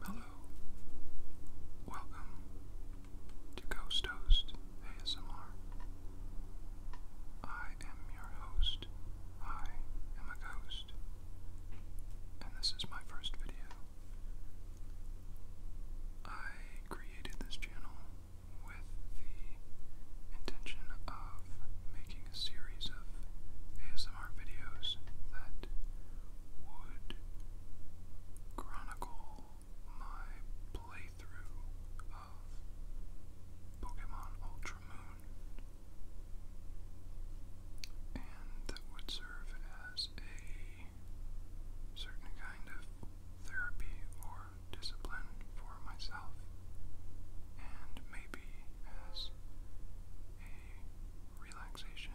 Hello. Welcome to Ghost Host ASMR. I am your host. I am a ghost. And this is my first video. I created this channel with the intention of making a series of ASMR videos that would chronicle my playthrough of Pokemon Ultra Moon and that would serve as a certain kind of therapy more discipline for myself and maybe as a relaxation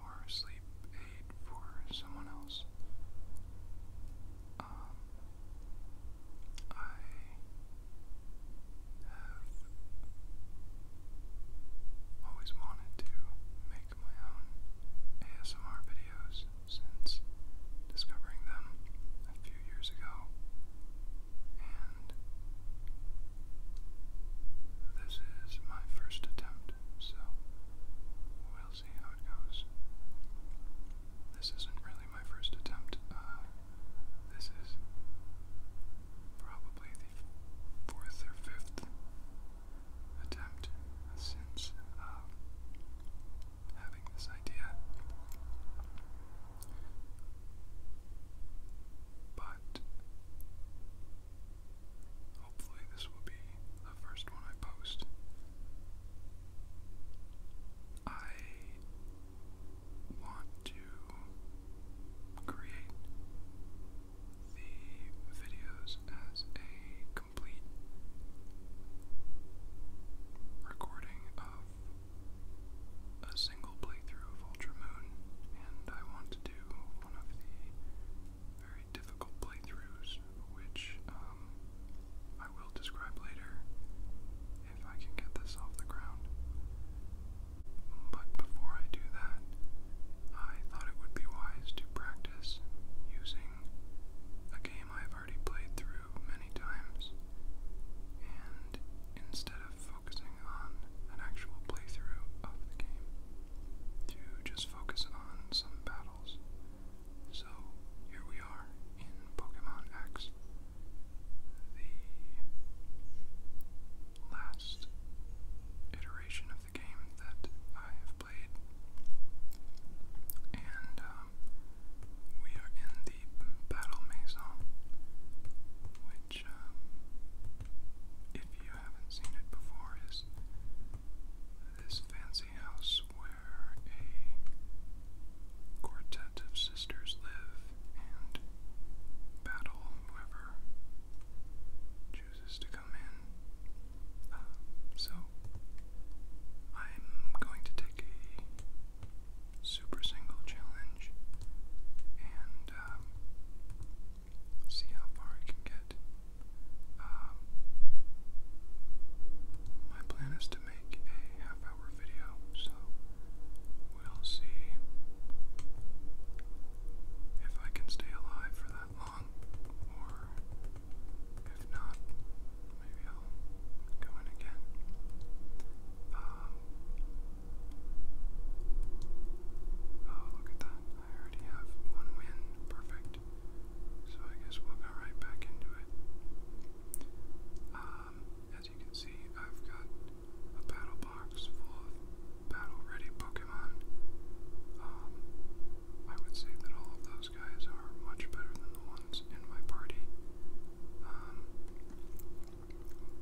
or sleep aid for someone else. Um, I have always wanted to make my own ASMR videos since discovering them a few years ago this is my first attempt, so we'll see how it goes. This isn't really my first attempt. Uh, this is probably the fourth or fifth attempt since uh, having this idea. But hopefully, this will be the first one I post. I want to create the videos as a complete recording of a single playthrough of Ultra Moon, and I want to do one of the very difficult playthroughs, which um, I will describe later if I can get this off the ground. But before I do that, I thought it would be wise to practice using a game I've already played through many times, and instead of focusing on an actual playthrough of the game, to just focus on some battles. So here we are in Pokemon X, the last iteration of the game that I have played. And um, we are in the Battle Maison, which, um, if you haven't seen it before, is this fancy house where a quartet of sisters live and battle whoever chooses to come in. Uh, so, I'm going to take a Super Single Challenge and um, see how far I can get. Um, my plan is to make a half hour video, so we'll see if I can stay alive for that long, or if not, maybe I'll go in again. Um, Oh, look at that. I already have one win. Perfect. So I guess we'll go right back into it. Um, as you can see, I've got a battle box full of battle-ready Pokemon. Um, I would say that all of those guys are much better than the ones in my party. Um,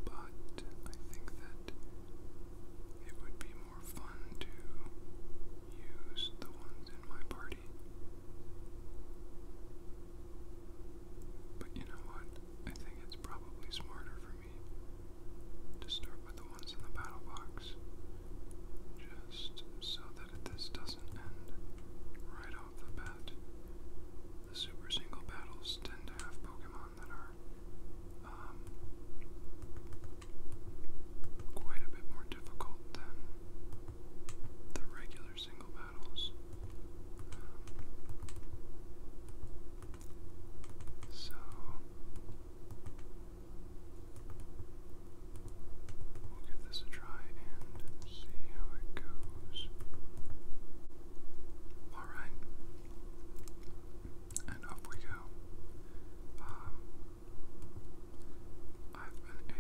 but I think that it would be more fun to use the ones in my party. But you know what? I think it's probably smarter for me to start with the ones in the battle box. Just so that this doesn't end right off off the bat. The Super Single battles tend to have Pokemon that are um, quite a bit more difficult than the regular single battles. so. We'll give this a try and see how it goes. Alright. And up we go. Um, I've been a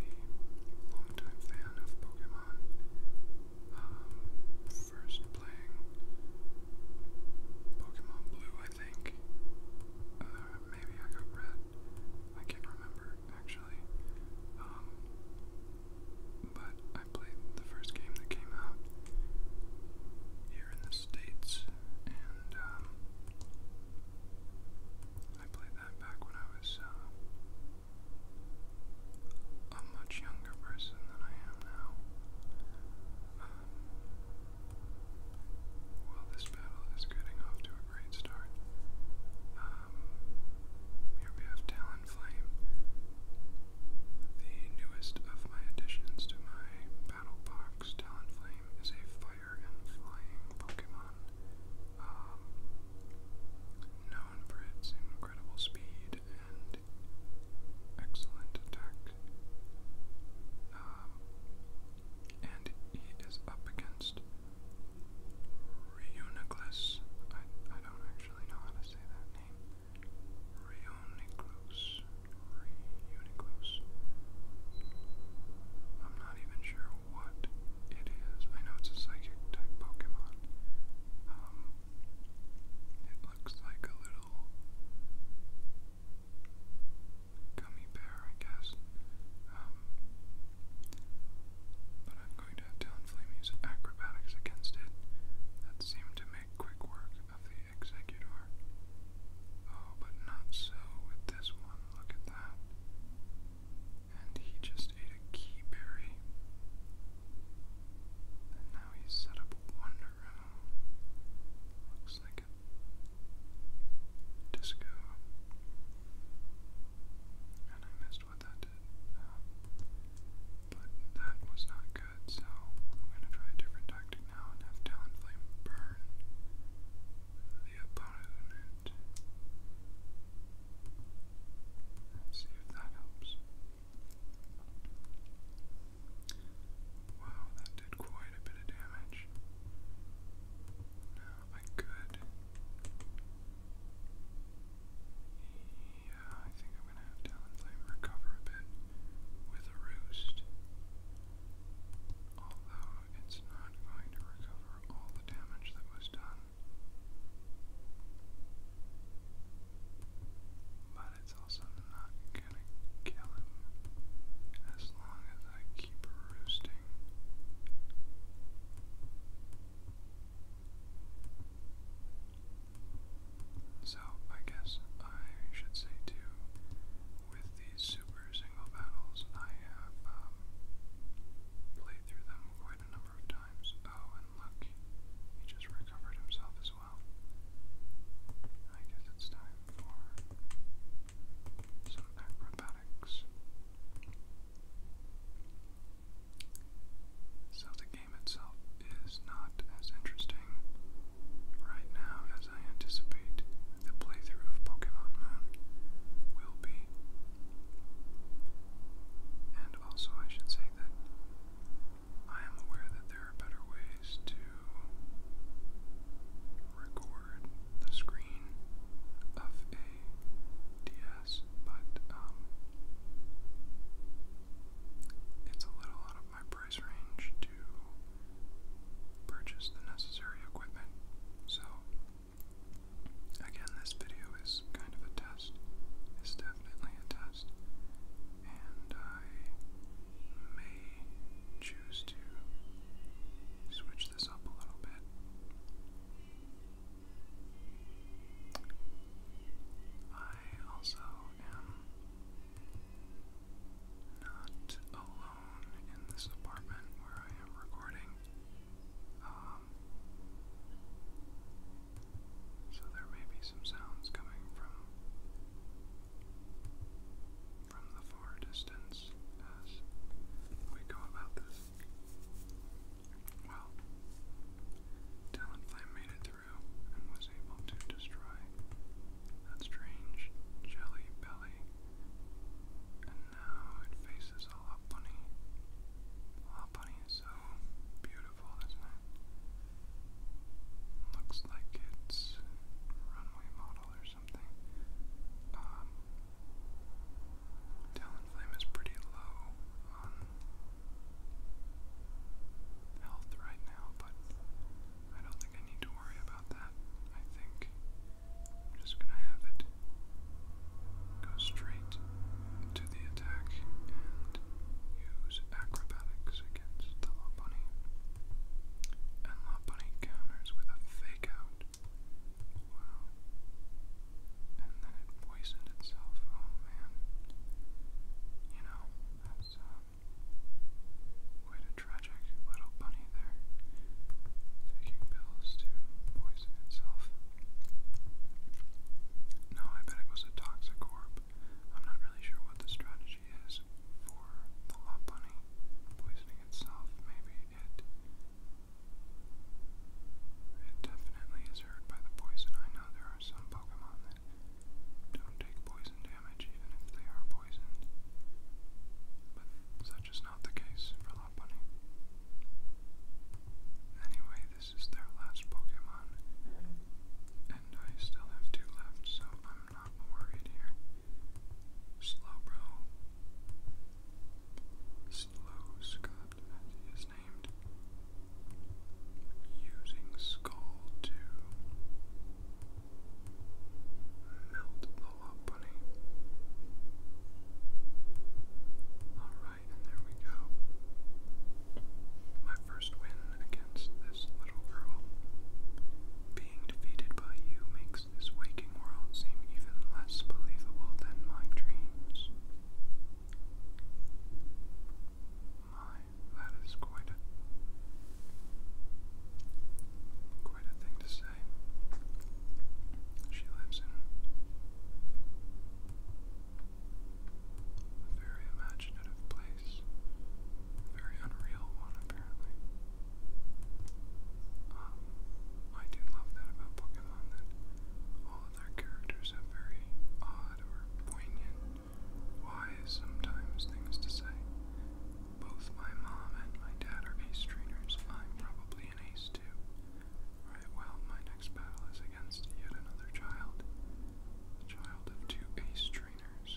long fan of Pokemon. Um, first playing Pokemon Blue, I think. Uh, maybe I got red. I can't remember, actually. Um, but I played the first game that came out here in the States, and um, I played that back when I was uh, a much younger person than I am now. Um, well, this battle is getting off to a great start. Um, have Talon on the newest of my additions to my battle box. Talonflame is a fire and flying Pokemon, um, known for its incredible speed and excellent attack. Um, and he is up against Reuniclus. I, I don't actually know how to say that Reuniclus. Reuniclus. I'm not even sure what it is. I know it's a psychic type Pokemon. Um, it looks like a little gummy bear, I guess. Um, but I'm going to tell Flame use acrobatics against it that seemed to make quick work of the Executor. Oh, but not so with this one, look at that. And he just ate a key berry. And now he's set up a wonder room. Looks like a disco. And I missed what what that did. Um, but that was not good, so I'm going to try a different tactic now and have Talonflame burn the opponent. Let's see if that helps. Wow, that did quite a bit of damage. Now I could yeah, I think I'm gonna have Talonflame recover a bit with a roost. Although it's not going to recover all the damage that was done. But it's also not gonna kill him as long as I keep roosting. So I guess I should say too, with these super single battles, I have um, played through them quite a number of times. Oh, and look, he just recovered himself as well. I guess it's time for some acrobatics. So the game itself is not as interesting right now as I anticipate the playthrough of Pokemon Moon will be. And also, I should say that I am aware that there are better ways to record the screen of a DS, but um, it's a little out of my price range to purchase the necessary equipment, so again, this video is kind of a test. It's definitely a test, and I may choose to switch this up a little bit. I I also am not alone in this apartment where I am recording. Um, so there may be some sounds coming from from the far distance as we go about this. Well, Talon Flame made it through through and was able to destroy that strange jelly belly. And now it faces a lot bunny. Lot bunny is so beautiful, isn't it? Looks like it's runway model or something. Um, Talonflame is pretty low health right now, but I don't think I need to worry about that. I think I'm just gonna have it go straight to the attack and use acrobatics against the Law Bunny. And Law Bunny counters with a fake out. Wow. And then it poisoned itself. Oh man. You know, that's um, quite a tragic little bunny there, taking pills to poison itself. No, I bet it was a toxic orb. I'm not really sure what the strategy is for the lot bunny poisoning itself. Maybe it. It definitely is hurt by the poison. I there are some Pokemon that don't take poison damage even if they are poisoned. But such is not the case for Lopunny. Anyway, this is their last Pokemon. And I still have two left, so I'm not worried here. Slowbro. Slow Scott, named using Skull to melt the love Alright, and there we go. My first win against this little girl. Being defeated by you makes this waking world seem even less believable than my dreams. My that is quite a quite a thing to say. She lives in a very imaginative place, a very unreal one apparently. Um, I do love that about Pokemon that all of their characters have very odd or poignant wise sometimes things to say. Both my mom and my dad are ace trainers. I'm probably an ace too. Right, well, my next battle is against yet another child. A child of two ace trainers.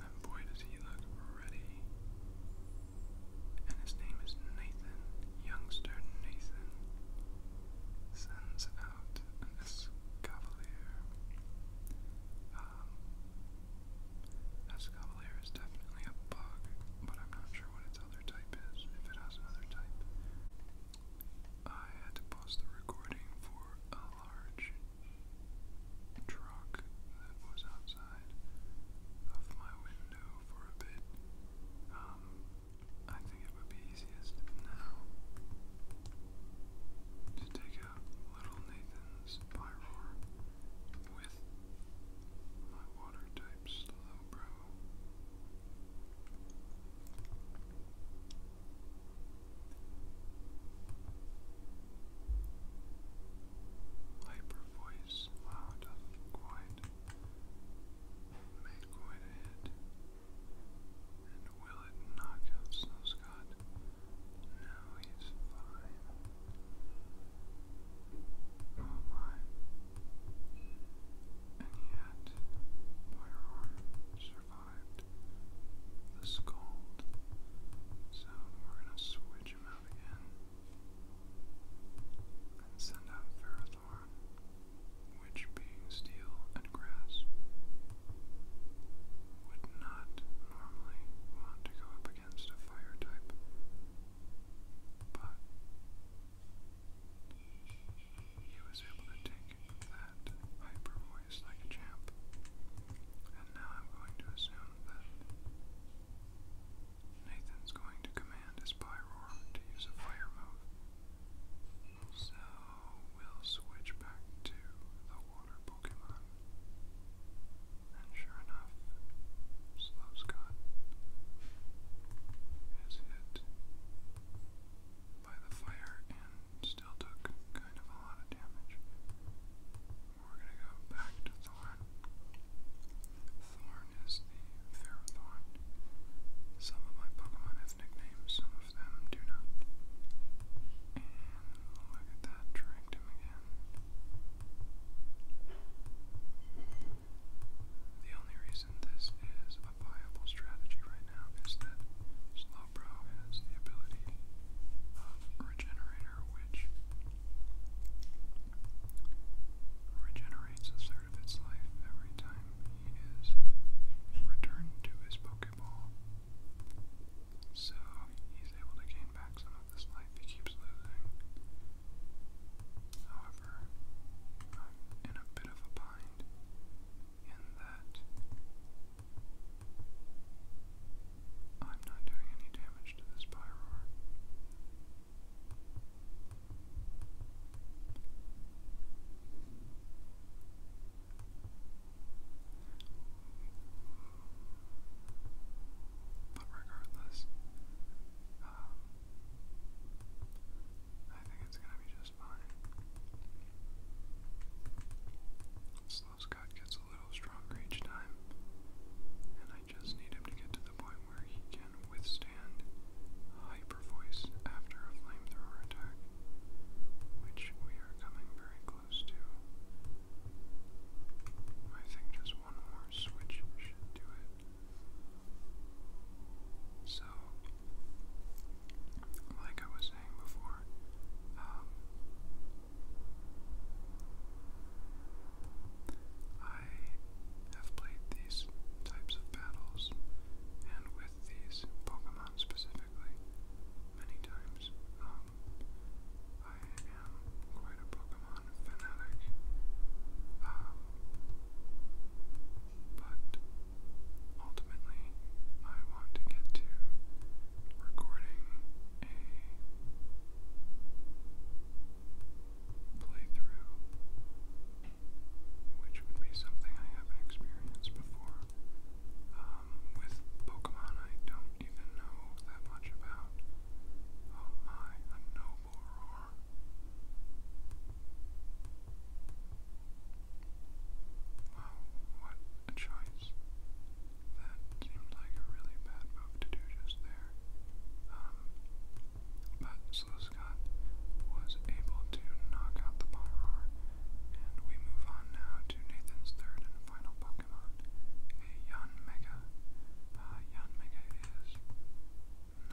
And boy, does he look ready. And his name is Nathan. Youngster Nathan sends out an this um, Cavalier. is definitely a bug, but I'm not sure what its other type is, if it has another type. I had to pause the recording for a large truck that was outside of my window for a bit. Um, I think it would be easiest now to take out little Nathan's pyroar with my water type slow Hyper voice loud, quite made quite a hit. And will it knock out Snowscott? No, he's fine. Oh my. And yet, Firearm survived the scold. So we're gonna switch him out again. And send out Ferrothorn which being steel and grass, would not normally want to go up against a fire type, but he was able to take that hyper voice like a champ, and now I'm going to assume that Nathan's going to command his Pyroar to use a fire move. So we'll switch back to the water Pokemon. And sure enough, Slowscott is hit by the fire and still took kind of a lot of damage. We're gonna go back to Thorn. Thorn is the Ferrothorn. Some of my Pokemon have nicknames, some of them do not. And look at that, dragged again. The only reason this is a viable strategy right now is that Slowbro has the ability of Regenerator, which regenerates a third of its life every time he returned to his Pokemon. Pokeball. So he's able to gain back some of this life he keeps losing. However, I'm in a bit of a bind in that I'm not doing any damage to this Pyroar. But regardless, um, I think it's gonna be just fine. Slow's cut gets a little stronger each time, and I just need him to get to the point where he can withstand hyper voice after a flamethrower attack which we are coming very close to. I think just one more switch should do it. So, like I was saying before, um, I have played these types of battles, and with these Pokemon specific specifically many times. Um, I am quite a Pokemon fanatic. Um, but ultimately, I want to get to recording a playthrough, which would be something I haven't experienced before. Um, um, with Pokemon, I don't even know that much about. Oh my, a noble Wow, what a choice. That seemed like a really bad move to do just there. Um, but Slowscott was able to knock out the Pyroar and we move on now to Nathan's third and final Pokemon, a Yan Mega. Uh, is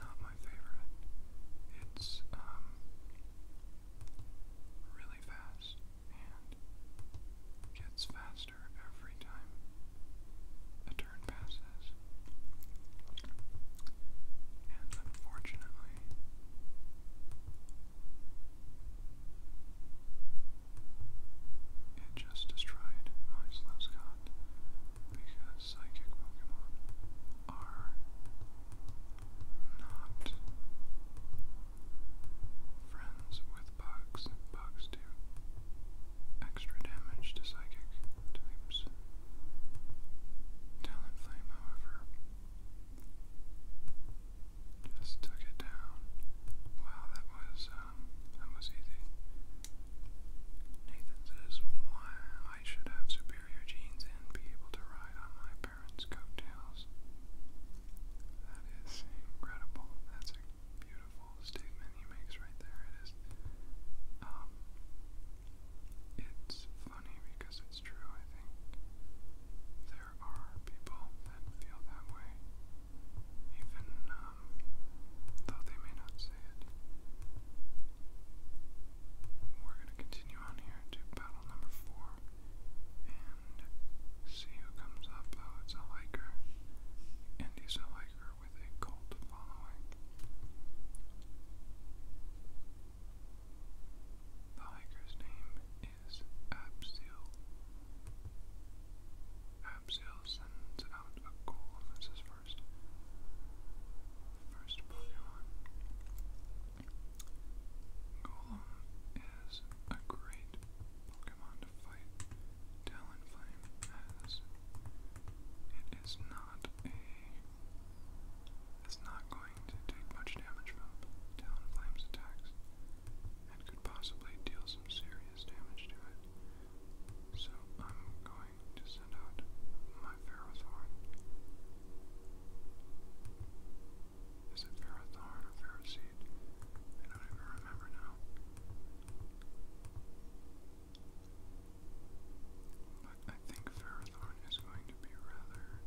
not my favorite. It's um really fast and gets faster every time a turn passes. And unfortunately, it just destroyed my Slowscott because psychic Pokemon are not friends with bugs. Bugs do extra damage to psychic types. Talent however, just took it down. Wow, that was um, that was easy. Nathan says, Why I should have superior genes and be able to ride on my parents' coattails. That is incredible. That's a beautiful statement he makes right there. It is um, it's funny because it's true, I think there are people that feel that way, even um, though they may not say it. We're going to continue on here to battle number four and see who comes up. Oh, it's a hiker, and he's a hiker with a cult following. The hiker's name is Absil. sends out a cool, this is first. First Pokemon. Golem is a great Pokemon to fight. Talonflame has. It is not a it's not going to take much damage from Talon Flame's attacks, and could possibly deal some serious damage to it. So I'm going to send out my Ferrothorn. Is it Ferrothorn or Ferroseed? I don't even remember now. But I think Ferrothorn is going to be rather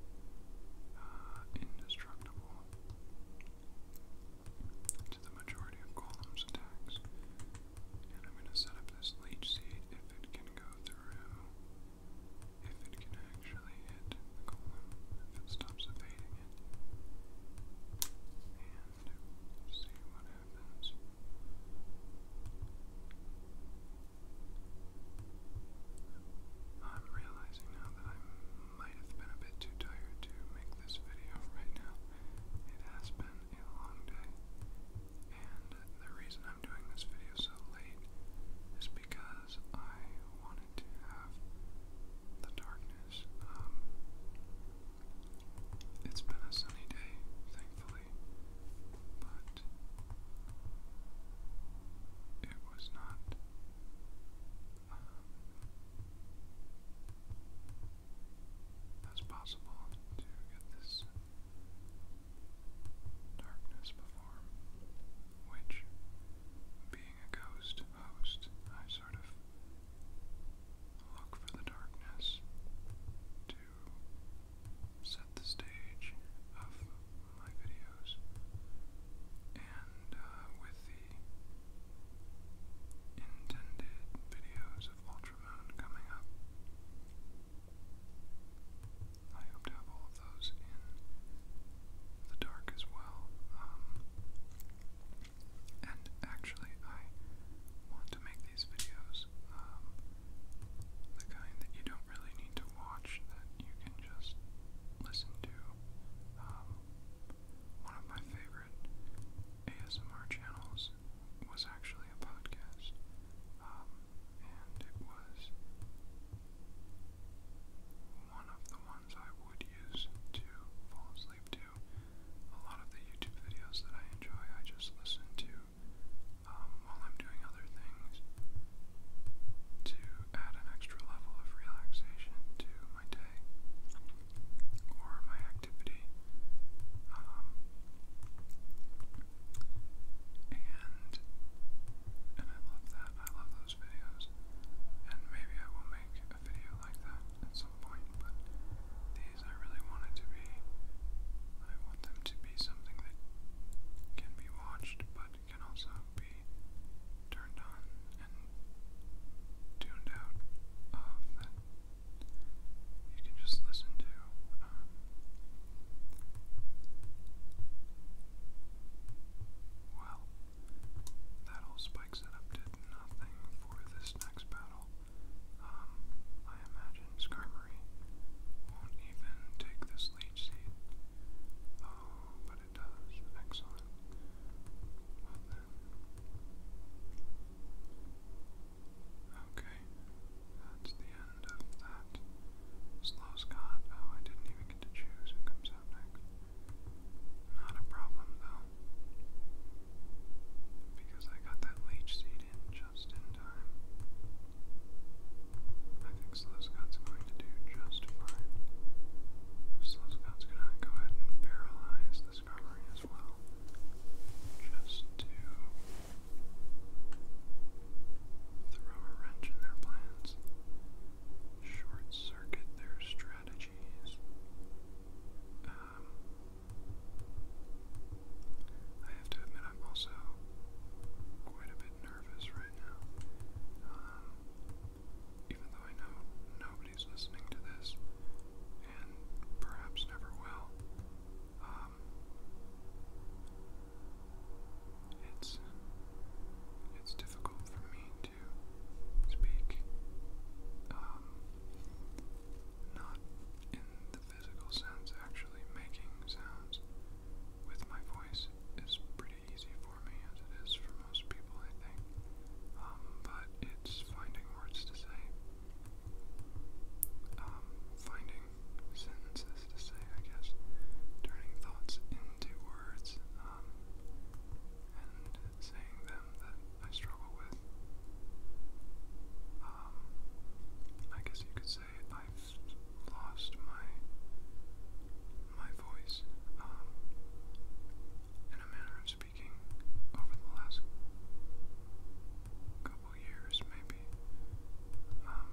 uh, indestructible to the majority of Golem's attacks. And I'm going to set up this Leech Seed if it can go through, if it can actually hit the Golem, if it stops evading it. And see what happens. I'm realizing now that I might have been a bit too tired to make this video right now. It has been a long day, and the reason I'm doing this video so late is because I wanted to have the darkness. Um, it's been a sunny day, thankfully, but it was not um, as possible to get this darkness before, which, being a ghost host, I sort of look for the darkness to set the stage of my videos. And uh, with the intended videos of Ultramoon coming up, I hope to have all of those in the dark as well. Um, and actually, I want to make these videos um, the kind that you don't really need to watch that you can just listen to. Um, one of my favorite ASMR channels was actually a podcast, um, and it was one of the ones I would use to fall asleep to. A lot of the YouTube videos that I enjoy, I just listen to um, while I'm doing other things to add an extra level of relaxation to my day or my activity. Um, and and I love that. I love those videos. And maybe I will make a video like that at some point, but these I really want to be I want them to be something that can be watched but can also be turned on and tuned out um, that you can just listen to. Um, well, that whole spike setup did nothing for this next battle. Um, I imagine Skarmory won't even take this leech seed. Oh, but it does. Excellent. Okay. That's the end of that. Slow Scott. Oh, I didn't even get to choose who comes out next. Not a problem though. Because I got that leech seed in just in time think Slowscott's going to do just fine. Slowscott's going to go ahead and paralyze this as well. Just to throw a wrench in their plans. Short circuit their strategies. Um, I have to admit, I'm also quite a bit nervous right now. Um, even though I know nobody's listening to this, and perhaps never will, um, it's it's difficult for me to speak, um, not in the physical sense. Actually, making sounds with my voice is pretty easy for me as it is for most people, I think. Um, but it's finding words to say. Um, finding sentences to say, I guess. Turning thoughts into words, um, and saying them that I struggle with. I guess you could say I've lost my my voice um, in a manner of speaking over the last couple years, maybe. Um,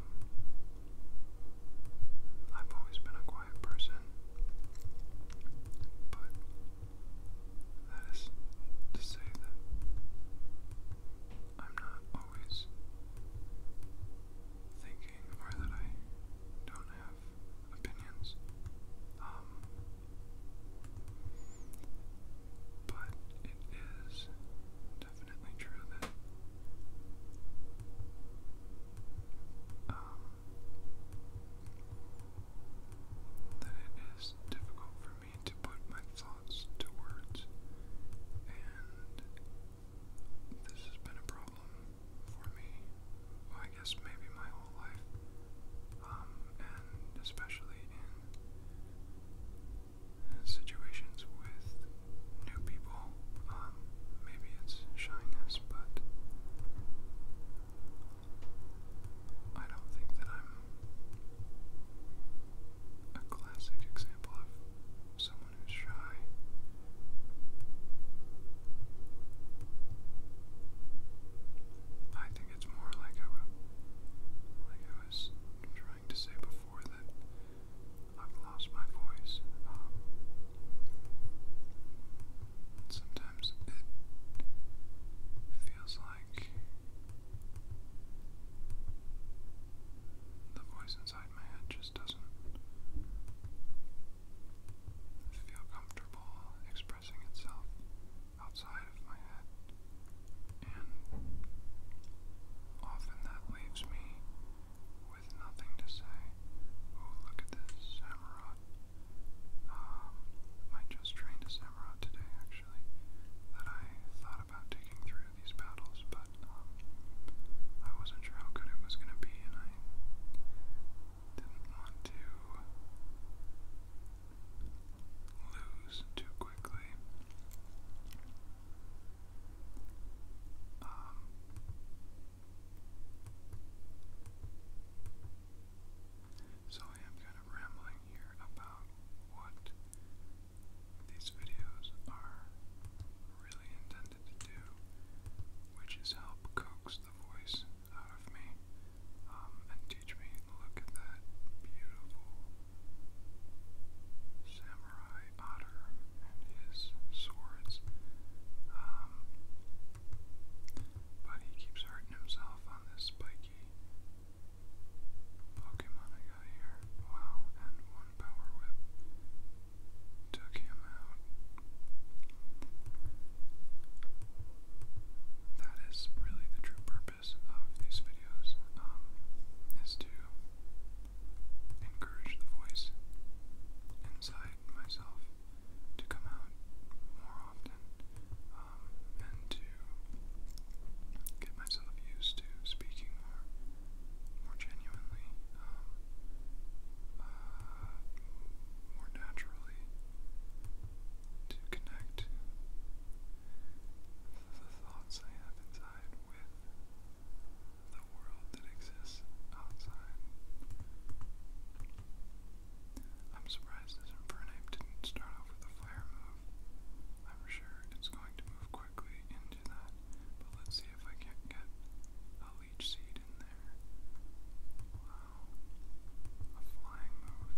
I've always been a quiet person, but that is to say that I'm not always thinking or that I don't have opinions. Um, but it is definitely true that um, that it is difficult for me to put my thoughts to words, and this has been a problem for me. I guess maybe my whole life, um, and especially in uh, situations with new people. Um, maybe it's shyness, but I don't think that I'm a classic example of someone who's shy. I think it's more like I, was trying to say before that I've lost my voice. Um, sometimes it feels like the voice inside my head just doesn't feel comfortable expressing itself outside of my head. And often that leaves me with nothing to say. Oh, look at this Samurott. Um, I just trained a Samurott today, actually, that I thought about taking through these battles, but um, I wasn't sure how good it was going to be, and I didn't want to lose too quickly. Um, so I am kind of rambling here about what these videos are really intended to do, which is help coax the voice out of me um, and teach me, look at that beautiful samurai otter and his swords. Um, but he keeps hurting himself on this spiky Pokemon I got here. Wow, and one power whip took him out. That is really the true purpose of these videos, um, is to encourage the voice inside myself to come out more often, um, and to get myself used to speaking more, more genuinely, um, uh, more naturally to connect the thoughts I have inside with the world that exists outside. I'm surprised this Infernape didn't start off with a flare move. I'm sure it's going to move quickly into that, but let's see if I can't get leech seed in there. Wow. A flying move.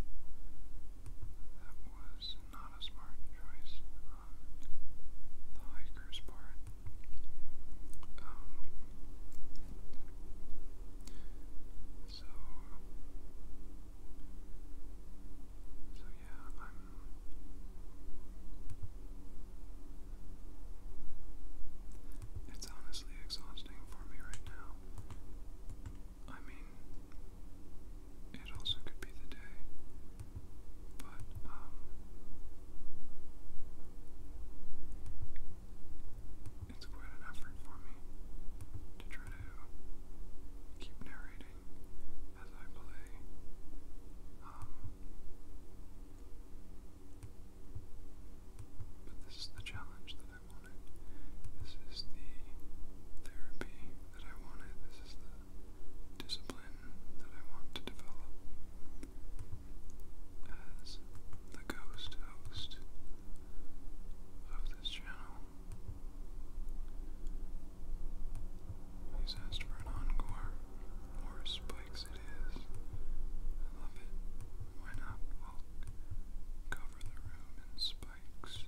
That was not a smart choice on the hiker's part. Um, so, so yeah, I'm. It's honestly exhausting for me right now. I mean, it also could be the day, but, um, it's quite an effort for me to try to keep narrating as I play. Um, but this is the challenge that I wanted. This is the therapy that I wanted. This is the discipline that I want to develop as the ghost host of this channel. He's asked for an encore. More spikes it is. I love it. Why not? cover the room in spikes.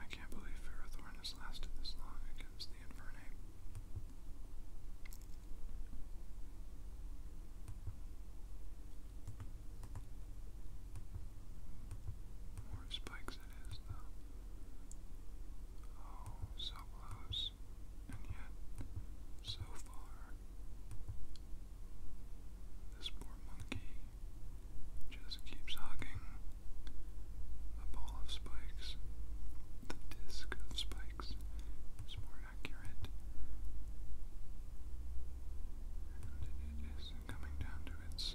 I can't believe Ferrothorn has lasted this long against the Infernape. More spikes it is, though. Oh, so close, and yet so far. This poor monkey just keeps hugging the ball of spikes. The disc of spikes is more accurate. And it is coming down to its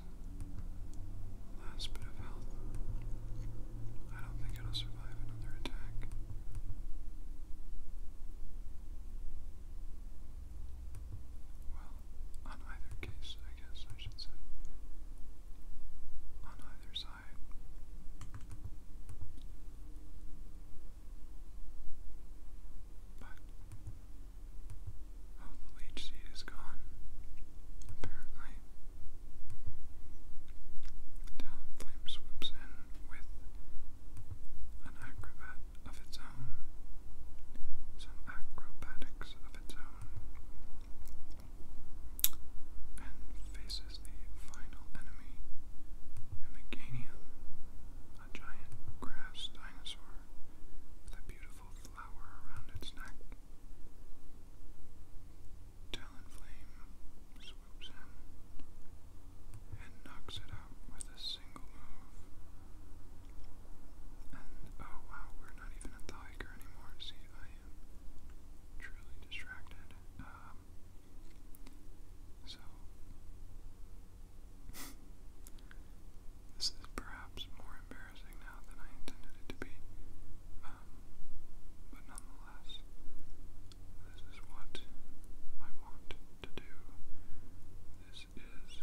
last bit of health. I don't think it'll survive survive another Well, on either case, I guess I should say. On either side. But. Oh, the leech seed is gone. Apparently. Talonflame swoops in with an acrobat of its own, some acrobatics of its own, and faces the final enemy, Hemiganium, a giant grass dinosaur with a beautiful flower around its neck. Talonflame swoops in and knocks it out with a single move. And oh wow, we're not even at the anymore. See, I am truly distracted. Um, so, this is perhaps more embarrassing now than I intended it to be. Um, but nonetheless, this is what I want to do. This is this.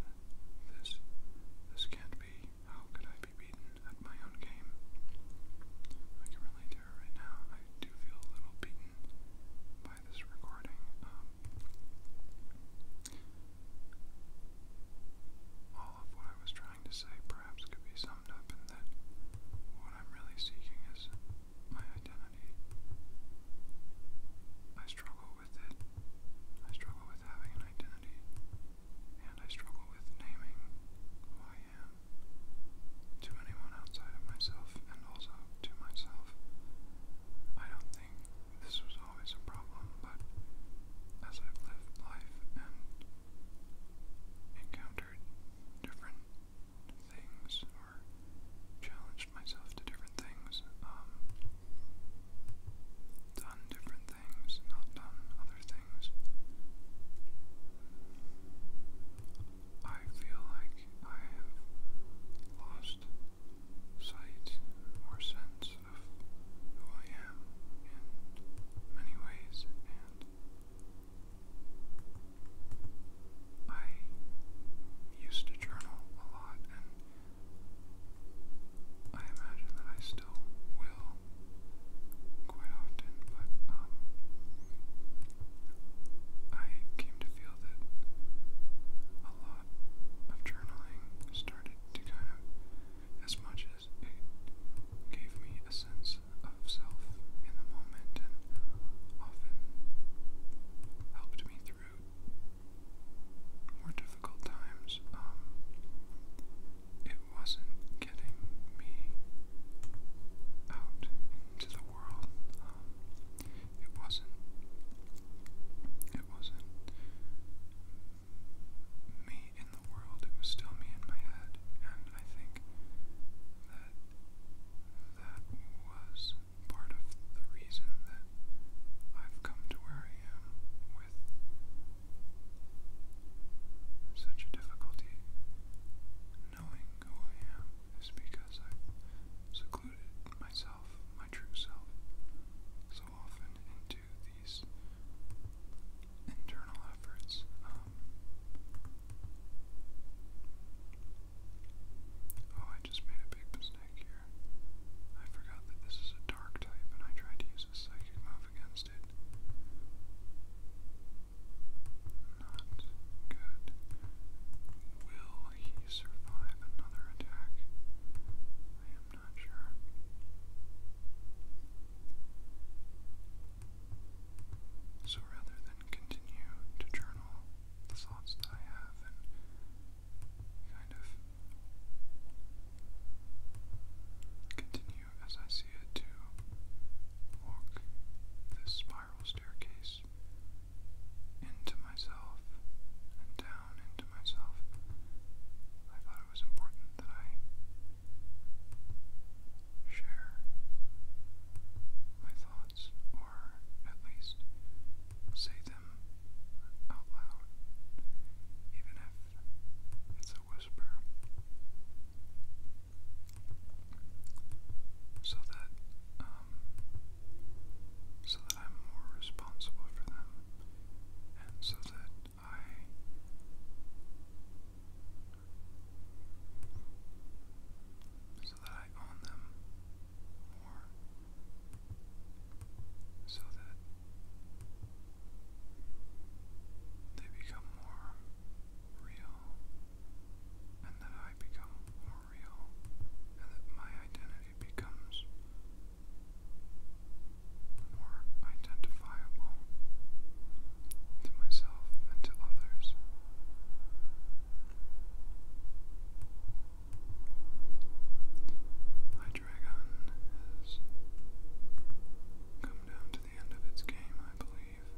This can't be. How could I be beaten at my own game? I can relate to her right now. I do feel a little beaten by this recording. Um, all of what I was trying to say perhaps could be summed up in that what I'm really seeking is my identity. I struggle with it. I struggle with having an identity. And I struggle with naming who I am to anyone outside of myself and also to myself. I don't think this was always a problem, but as I've lived life and encountered different things or challenged myself to different things. Um, done different things, not done other things. I feel like I have lost sight or sense of who I am in many ways, and I used to journal a lot, and I imagine that I still will quite often, but um, I came to feel that a lot of journaling started to kind of, as much as it gave me a sense of self in the moment and often helped me through more difficult times. Um, it wasn't getting me out into the world. Um, it wasn't. It wasn't me in the world. It was still me in my head, and I think that that was part of the reason that I've come to where I am with such a difficulty knowing who I am is because i secluded myself, my true self, so often into these internal efforts um, Oh, I just made a big mistake here. I forgot that this is a dark type and I tried to use a psychic move against it. Not good. Will he survive another attack? I am not sure. So rather then continue to journal the thoughts that I have and kind of continue as I see it to walk this spiral staircase into myself and down into myself. I thought it was important that I share my thoughts or at least say them out loud, even if it's a whisper, so that um, so that I'm more responsible for them, and so that I so that I own them more. So that they become more real, and that I become more real, and that my identity becomes more identifiable to myself and to others. My dragon has come down to the end of its game, I believe.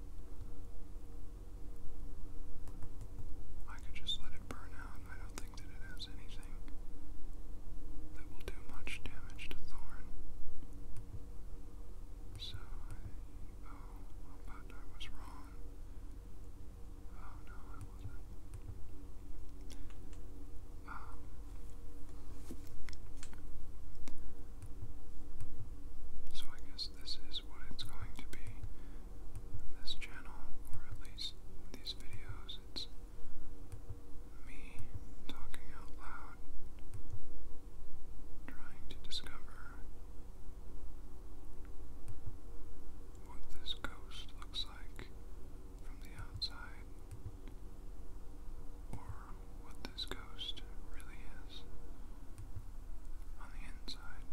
I could just let it burn out. I don't think that it has anything that will do much damage to Thorn. So I. Oh, but I was wrong. Oh no, so I guess this is what it's going to be. This channel, or at least these videos, it's me talking out loud, trying to discover what this ghost looks like from the outside, or what this ghost really is on the inside.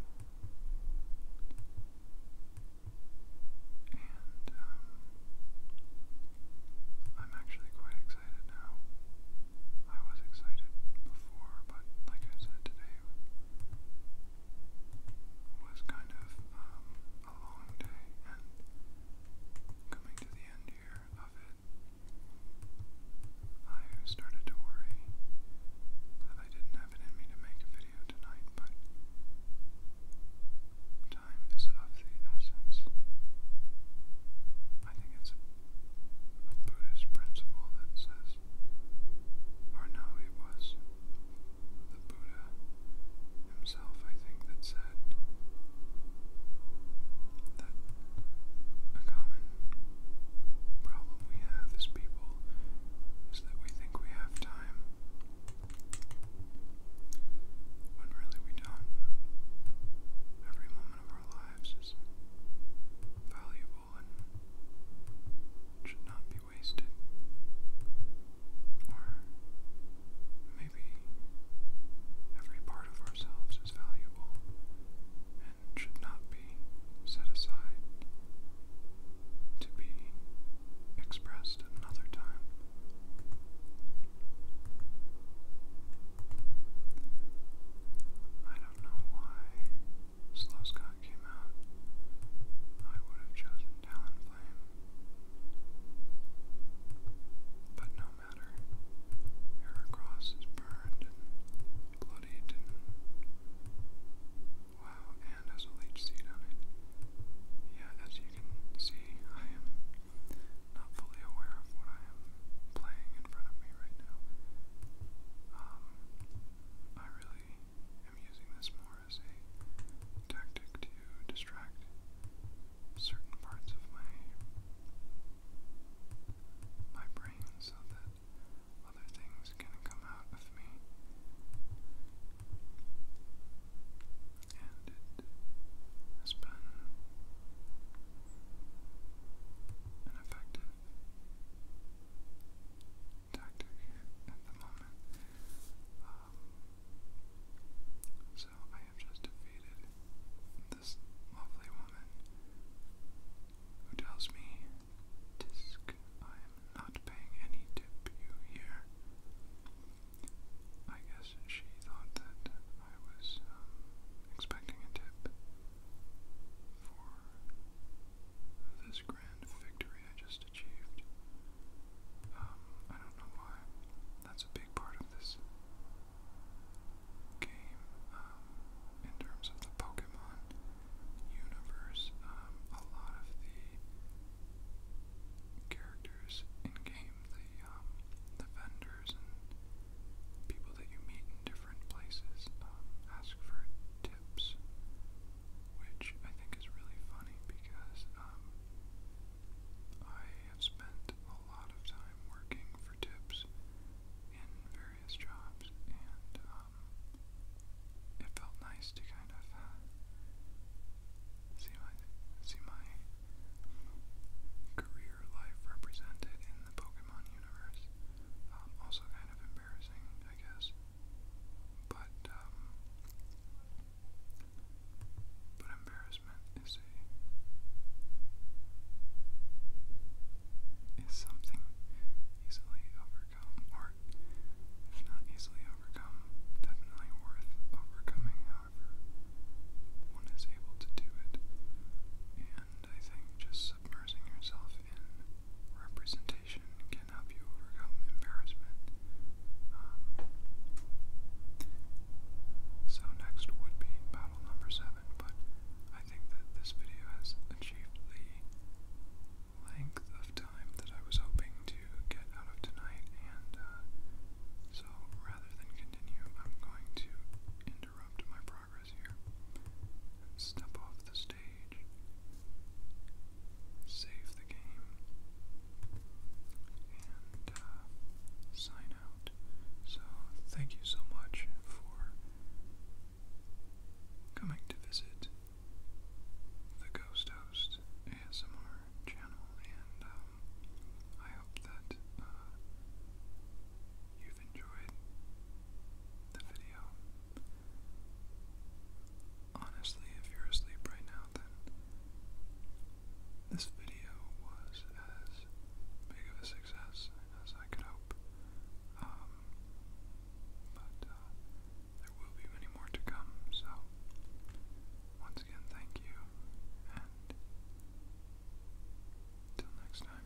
And um, I'm actually quite excited now. I was excited before, but like I said today, day was kind of um, a long day, and coming to the end here of it, I started to worry that I didn't have it in me to make a video tonight, but time is of the essence. I think it's a Buddhist principle that says or no, it was the Buddha himself, I think, that said that a common problem we have as people is that we think we have time when really we don't. Every moment of our lives is valuable should not be wasted. Or maybe every part of ourselves is valuable and should not be set aside to be expressed at another time. I don't know why Slowscott came out, I would have chosen Talonflame. But no matter, Heracross is burned and bloodied and... Wow, and has a leech seed on it. Yeah, as you can see, I am not fully aware of what I am playing in front of me right now. Um, I really am using this more as a tactic to distract certain parts of my my brain so that other things can come out of me. And it has been an effective tactic at the moment. Um, so I have just defeated this lovely woman who tells me, Tisk, I am not paying any tip you here. I guess she thought that I was um, expecting a tip for this grand victory I just achieved. Um, I don't know why. That's a big part of this game, um, in terms of the Pokemon universe. Um, a lot of the characters in game, the the vendors and people that you meet in different places ask for tips, which I think is really funny because um, I have spent a lot of time working for tips in various jobs, and um, it felt nice to kind of uh, see my see my career life represented in the Pokemon universe. Um, also, kind of embarrassing, I guess. But, um, but embarrassment is something easily overcome, or if not easily overcome, definitely worth overcoming. However, one is able to do it, and I think just submersing yourself in representation can help you overcome embarrassment. Um, so next would be battle number seven, but I think that this video has achieved the length of time that I was hoping to get out of tonight, and uh, so rather than continue, I'm going to interrupt my progress here step off the stage save the game, and uh, sign out. So, thank you so much for coming to visit the Ghost Host ASMR channel, and um, I hope that uh, you've enjoyed the video. Honestly, if you're asleep right now, then this video was as big of a success as I could hope. Um, but uh, there will be many more to come, so once again, thank you, and till next time.